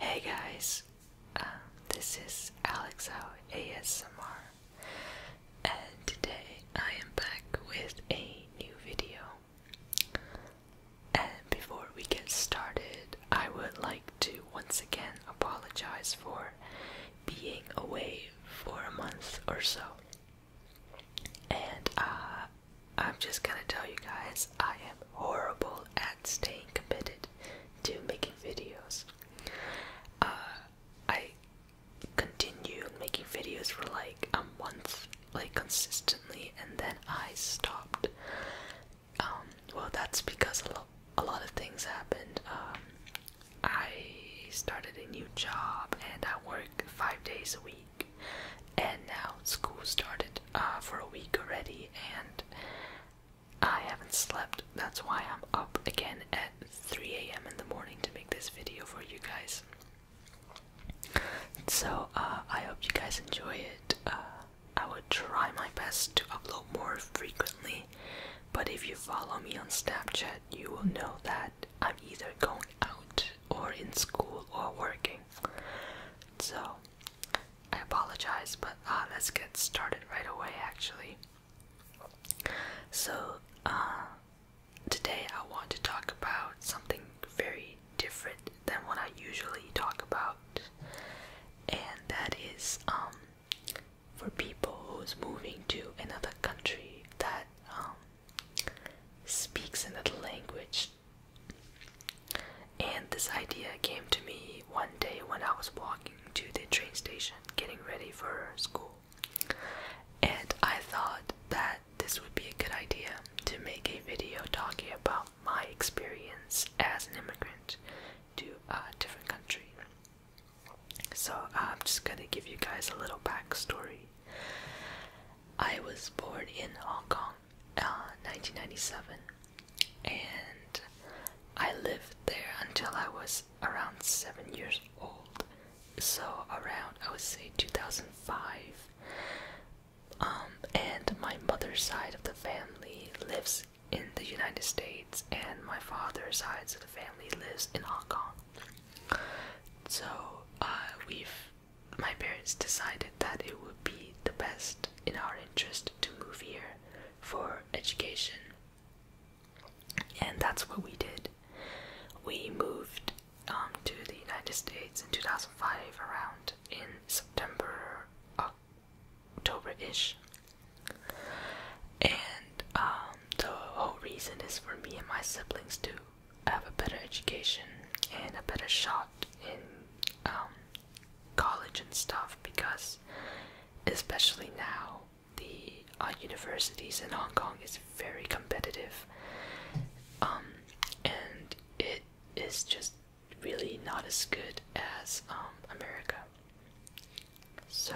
Hey guys, um, this is Alex out ASMR, and today I am back with a new video. And before we get started, I would like to once again apologize for being away for a month or so. And uh, I'm just gonna tell you guys, I am horrible at staying committed to making videos. Uh, I continued making videos for like a month, like consistently, and then I stopped. Um, well, that's because a lot, a lot of things happened. Um, I started a new job and I worked five days a week, and now school started uh, for a week already, and I haven't slept. That's why I'm up again at 3 a.m. in the morning to make this video for you guys. So uh, I hope you guys enjoy it. Uh, I will try my best to upload more frequently, but if you follow me on Snapchat, you will know that I'm either going out or in school or working. So, I apologize, but uh, let's get started right away actually. So, uh, today I want to talk about something very different than what I usually talk about, and that is um, for people who's moving to another country that um, speaks another language. And this idea came to me one day when I was walking to the train station getting ready for school. And I thought that this would be a good idea to make a video talking about my experience as an immigrant to a different country. So I'm just gonna give you guys a little backstory. I was born in Hong Kong, 1997, uh, and I lived there until I was around seven years old. So around I would say 2005. Um, and my mother's side of the family lives in the United States, and my father's side of the family lives in Hong Kong. So uh, we've, my parents decided that it would be the best in our interest to move here for education, and that's what we did. We moved um, to the United States in 2005, around in September, October-ish, and. Um, um, the whole reason is for me and my siblings to have a better education and a better shot in um, college and stuff because, especially now, the uh, universities in Hong Kong is very competitive. Um, and it is just really not as good as America. So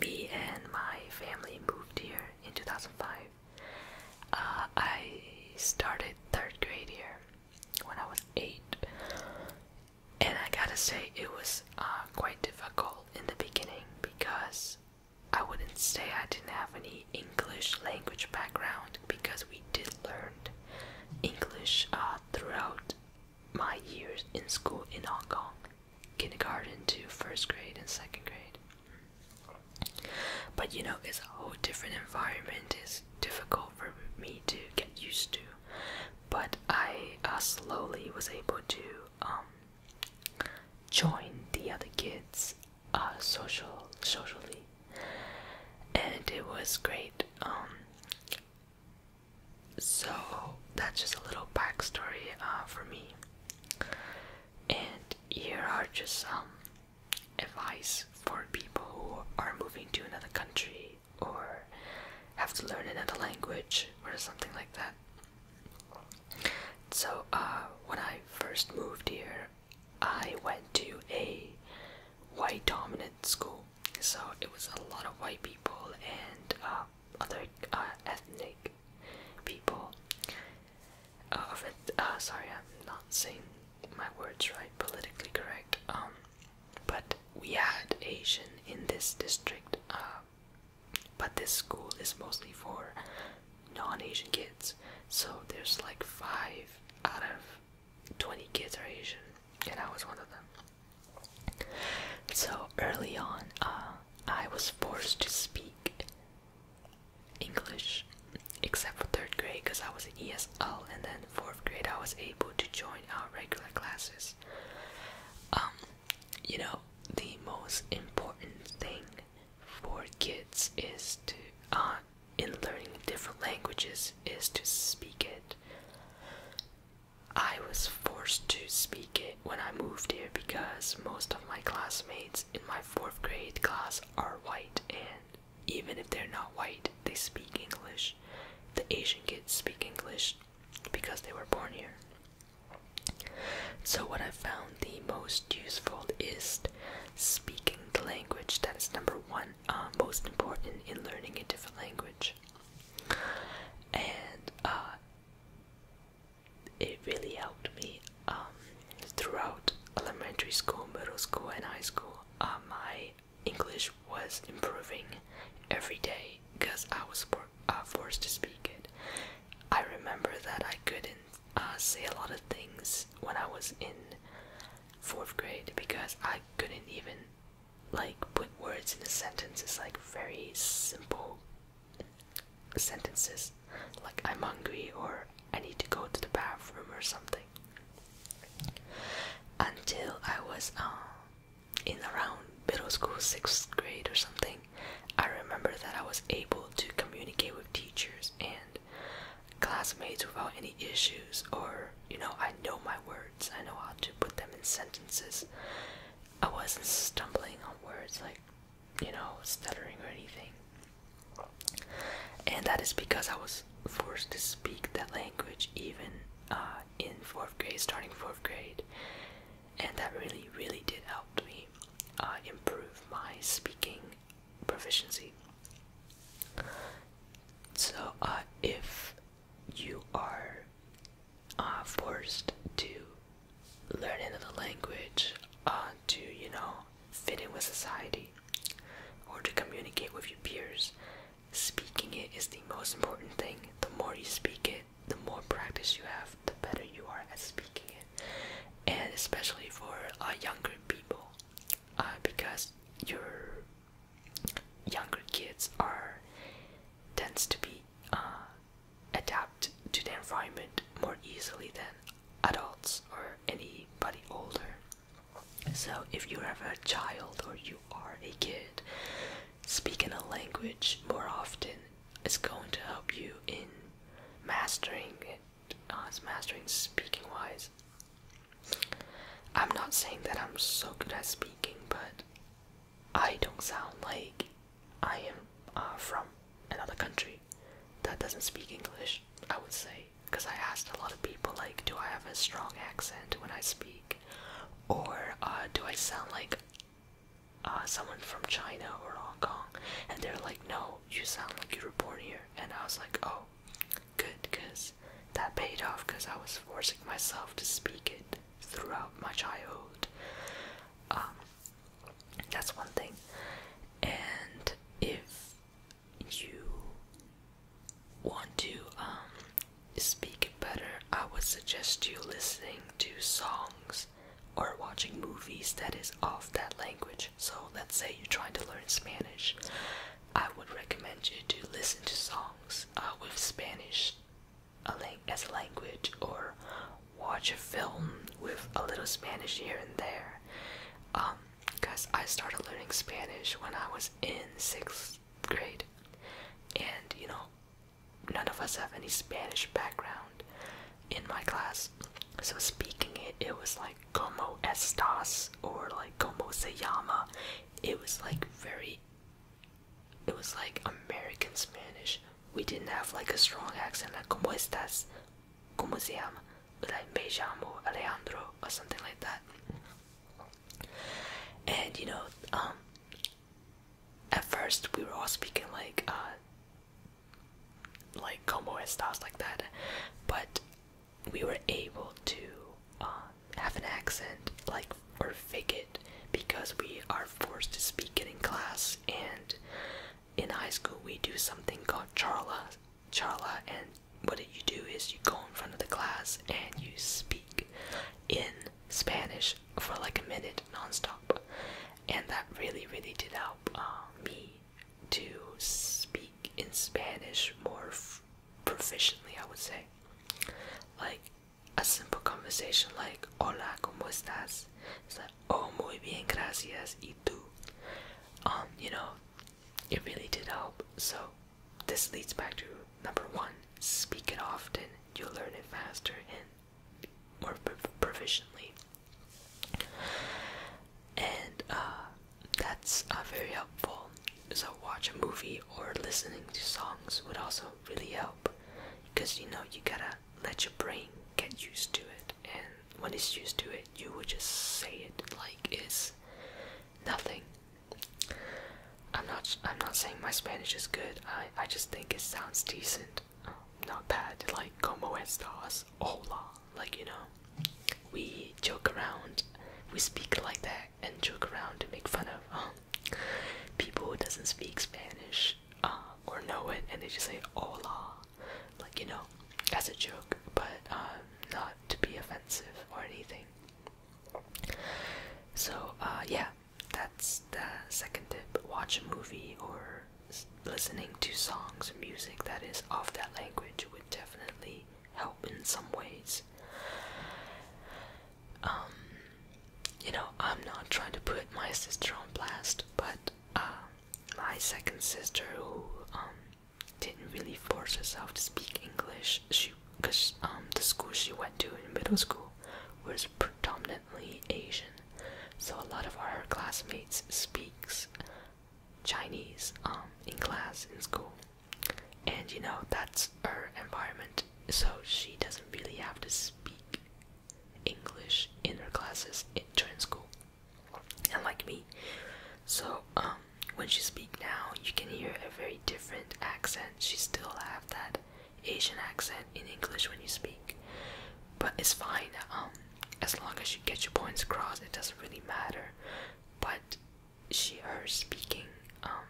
me and my family moved here in 2005. Uh, I started third grade here when I was eight, and I gotta say it was uh, quite difficult in the beginning because I wouldn't say I didn't have any English language background because we did learn English uh, throughout my years in school in Hong Kong, kindergarten to first grade and second grade. But you know, it's a whole different environment. It's difficult for me to get used to. But I uh, slowly was able to um, join the other kids uh, social socially, and it was great. Um, so that's just a little backstory uh, for me. And here are just some advice for people who are moving to another country or have to learn another language or something like that. So, uh, when I first moved here, I went to a white dominant school. So, it was a lot of white people, and uh, other uh, ethnic people. Uh, of it, uh, sorry, I'm not saying my words right, politically correct. Um, but we had Asian in this district. but this school is mostly for non-Asian kids. So there's like five out of 20 kids are Asian, and I was one of them. So early on, uh, I was forced to speak English except for third grade because I was in ESL, and then fourth grade, I was able to join our regular classes. Um, you know, the most important thing for kids is to, uh, in learning different languages, is to speak it. I was forced to speak it when I moved here because most of my classmates in my fourth grade class are white, and even if they're not white, they speak English. The Asian kids speak English because they were born here. So, what I found the most useful is speaking the language. That is number one, uh, most important in learning a different language and uh, it really helped me um, throughout elementary school, middle school, and high school. Uh, my English was improving every day because I was uh, forced to speak it. I remember that I couldn't say a lot of things when I was in fourth grade because I couldn't even like put words in a sentence is like very simple sentences like I'm hungry or I need to go to the bathroom or something. Until I was um, in around middle school, sixth grade or something, I remember that I was able to communicate with teachers and classmates without any issues, or you know, I know my words. I know how to put them in sentences. I wasn't stumbling on words like, you know, stuttering or anything. And that is because I was forced to speak that language even uh, in fourth grade, starting fourth grade. And that really, really did help me uh, improve my speaking proficiency. So, uh, if you are uh, forced to learn another language uh, to, you know, fit in with society or to communicate with your peers. Speaking it is the most important thing. The more you speak it, the more practice you have, the better you are at speaking it. And especially for uh, younger people, because you're younger kids are tends to be uh, adapt to the environment more easily than adults or anybody older. So if you have a child or you are a kid, speaking a language more often is going to help you in mastering it, as uh, mastering speaking wise. I'm not saying that I'm so good at speaking, but I don't sound like I am uh, from another country that doesn't speak English, I would say. Because I asked a lot of people, like, do I have a strong accent when I speak? Or uh, do I sound like uh, someone from China or Hong Kong? And they're like, no, you sound like you were born here. And I was like, oh, good, because that paid off because I was forcing myself to speak it throughout my childhood. Um, that's one thing. And if you want to um, speak it better, I would suggest you listening to songs or watching movies that is of that language. So let's say you're trying to learn Spanish. I would recommend you to listen to songs uh, with Spanish as a language or watch a film with a little Spanish here and there. because um, I started learning Spanish when I was in sixth grade, and you know, none of us have any Spanish background in my class, so speaking it, it was like como estas or like como se llama. It was like very it was like American Spanish. We didn't have like a strong accent like como estas, como se llama, like me llamo Alejandro or something like that. And you know, um, at first we were all speaking like, uh, like como estas like that, but we were able to uh, have an accent like we're fake it because we are forced to speak it in class and in high school we do something called charla charla and what you do is you go in front of the class and you speak in Spanish for like a minute nonstop and that really really did help uh, me to speak in Spanish more proficiently, I would say. Like a simple conversation like Hola, ¿cómo estás? It's like, Oh, muy bien, gracias, y tú? Um, you know, it really did help. So, this leads back to number one speak it often, you'll learn it faster and more proficiently. And uh, that's uh, very helpful so watch a movie or listening to songs would also really help because you know you gotta let your brain get used to it and when it's used to it you would just say it like it's nothing i'm not i'm not saying my spanish is good i i just think it sounds decent um, not bad like como estas hola like you know we joke around we speak like that and joke around to make fun of um, people who doesn't speak Spanish uh, or know it, and they just say "hola," like you know, as a joke, but uh, not to be offensive or anything. So uh, yeah, that's the second tip: watch a movie or listening to songs or music that is of that language would definitely help in some ways. Um, you know, I'm not trying to put my sister on blast, but uh, my second sister, who um, didn't really force herself to speak English, she because um, the school she went to in middle school was predominantly Asian, so a lot of our classmates speaks Chinese um, in class in school and you know that's her environment so she doesn't really have to speak english in her classes in during school and like me so um, when she speaks now you can hear a very different accent she still have that asian accent in english when you speak but it's fine um, as long as you get your points across it doesn't really matter but she her speaking um,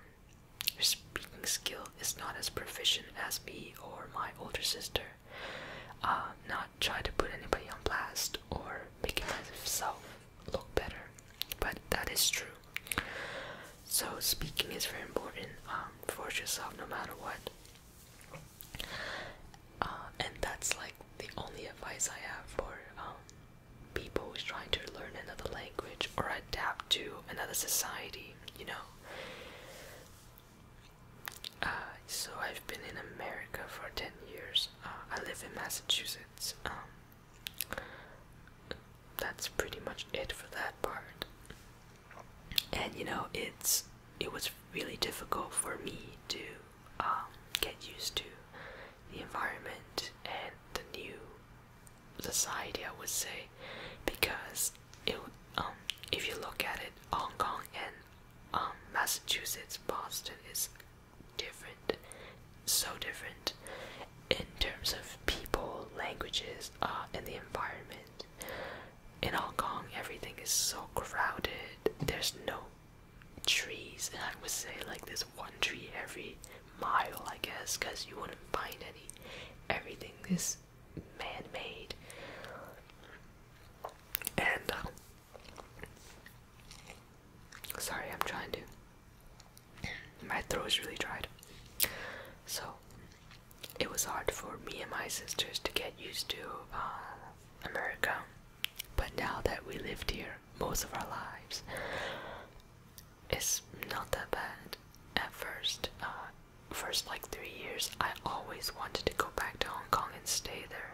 her speaking skill is not as proficient as me or my older sister. Uh, not try to put anybody on blast or making myself look better, but that is true. So speaking is very important. Um, for yourself no matter what. Uh, and that's like the only advice I have for um, people who's trying to learn another language or adapt to another society, you know. Uh, so I've been in America for 10 years. Uh, I live in Massachusetts. Um, that's pretty much it for that part. And you know, it's it was really difficult for me to um, get used to the environment and the new society, I would say, because it um if you look at it, Hong Kong and um Massachusetts, Boston is different, so different in terms of people, languages, uh, and the environment. In Hong Kong, everything is so crowded. There's no trees, and I would say like this one tree every mile, I guess, because you wouldn't find any. Everything is man made. And. Um, sorry, I'm trying to. My throat is really dried. So, it was hard for me and my sisters to get used to uh, America but now that we lived here most of our lives, it's not that bad. At first, uh, first like three years, I always wanted to go back to Hong Kong and stay there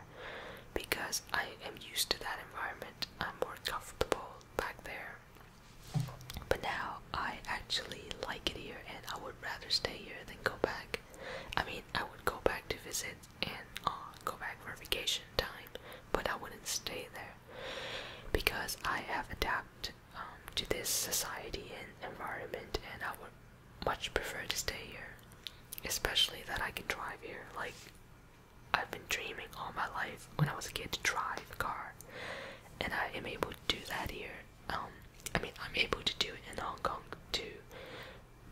because I am used to that environment. I'm more comfortable back there. But now I actually like it here and I would rather stay here than go back. I mean, I would go back to visit and uh, go back for vacation time, but I wouldn't stay there because I have adapted um, to this society and environment, and I would much prefer to stay here, especially that I can drive here. Like I've been dreaming all my life when I was a kid to drive a car, and I am able to do that here. Um, I mean, I'm able to do it in Hong Kong too,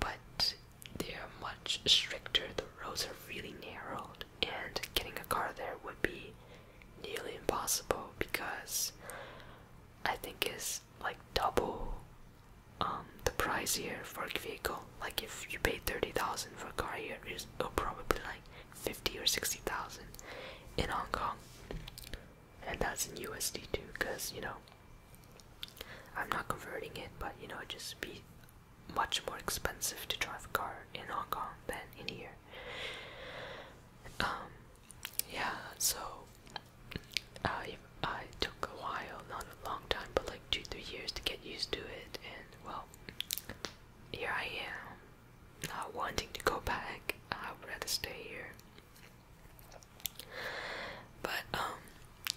but they're much stricter. The roads are really narrowed, and getting a car there would be nearly impossible because I think it's like double um, the price here for a vehicle. Like if you pay thirty thousand for a car here, it's probably like fifty or sixty thousand in Hong Kong, and that's in USD too, because you know. I'm not converting it, but you know, just be much more expensive to drive a car in Hong Kong than in here. Um, yeah, so I took a while, not a long time, but like two three years to get used to it, and well, here I am, not wanting to go back. I'd rather stay here. But um,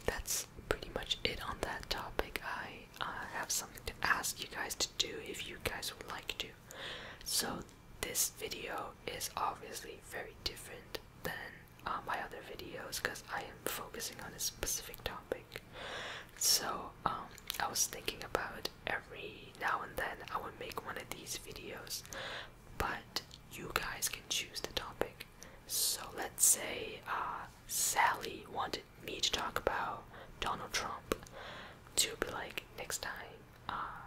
that's pretty much it on that topic. I uh, have something to ask you guys to do if you guys would like to. So this video is obviously very different than uh, my other videos because I am focusing on a specific topic. So um, I was thinking about every now and then I would make one of these videos, but you guys can choose the topic. So let's say uh, Sally wanted me to talk about Donald Trump to be like next time, uh,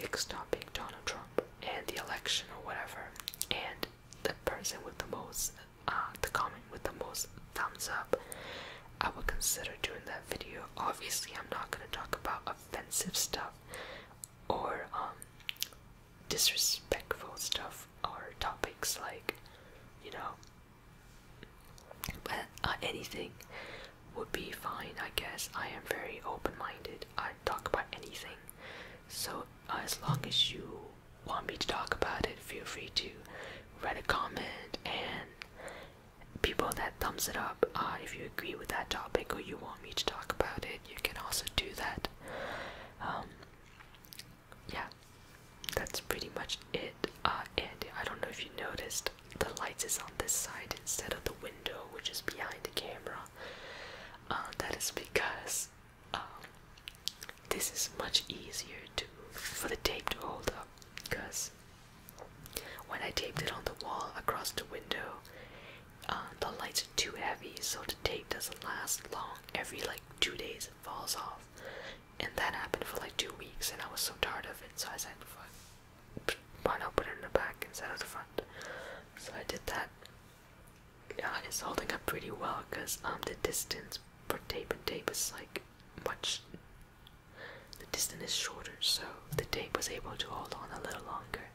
next topic Donald Trump and the election or whatever. And the person with the most, uh, the comment with the most thumbs up, I would consider doing that video. Obviously, I'm not gonna talk about offensive stuff or um, disrespectful stuff or topics like, you know, but, uh, anything would be fine, I guess. I am very open minded. I talk about anything. So, uh, as long as you want me to talk about it, feel free to write a comment and people that thumbs it up uh, if you agree with that topic or you want me to talk about it you can also do that um, yeah, that's pretty much it. Uh, and I don't know if you noticed, the lights is on this side instead of the window, which is behind the camera. Uh, that is because um, this is much easier to for the tape to hold up. Because when I taped it on the wall across the window, uh, the lights are too heavy, so the tape doesn't last long. Every like two days it falls off. And that happened for like two weeks, and I was so tired of it, so I said, fuck, why not put it in the back instead of the front? So I did that. Yeah, it's holding up pretty well because um, the distance per tape and tape is like much. The distance is shorter, so the tape was able to hold on a little longer.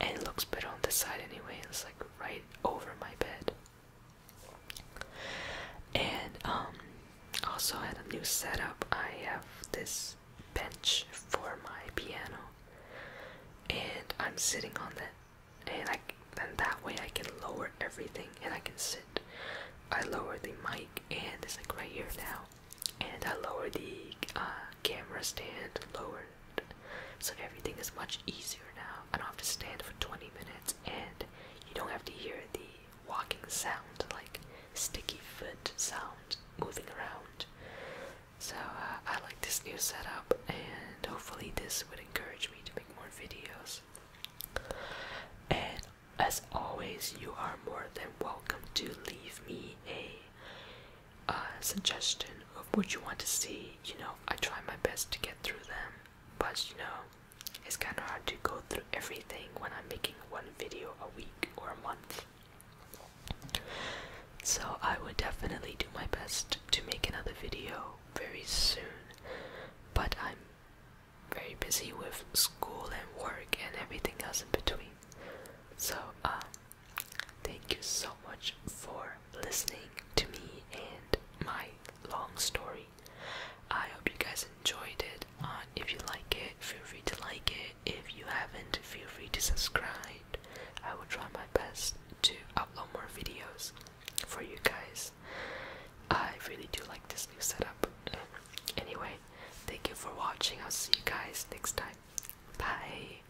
And it looks better on this side anyway. It's like right over my bed. And um also had a new setup. I have this bench for my piano and I'm sitting on that and I then that way I can lower everything and I can sit. I lower the mic and it's like right here now and I lower the uh, camera stand, lower so everything is much easier now. I don't have to stand for 20 minutes and you don't have to hear the walking sound, like sticky foot sound moving around. So uh, I like this new setup and hopefully this would encourage me to make more videos. And as always, you are more than welcome to leave me a uh, suggestion of what you want to see, you know, I try my best to get through them, but you know, it's kind of hard to go through everything when I'm making one video a week or a month. So I would definitely do my best to make another video very soon, but I'm very busy with school and work and everything else in between. So, um, Thank you so much for listening to me and my long story. I hope you guys enjoyed it. Uh, if you like it, feel free to like it. If you haven't, feel free to subscribe. I will try my best to upload more videos for you guys. I really do like this new setup. Anyway, thank you for watching. I'll see you guys next time. Bye.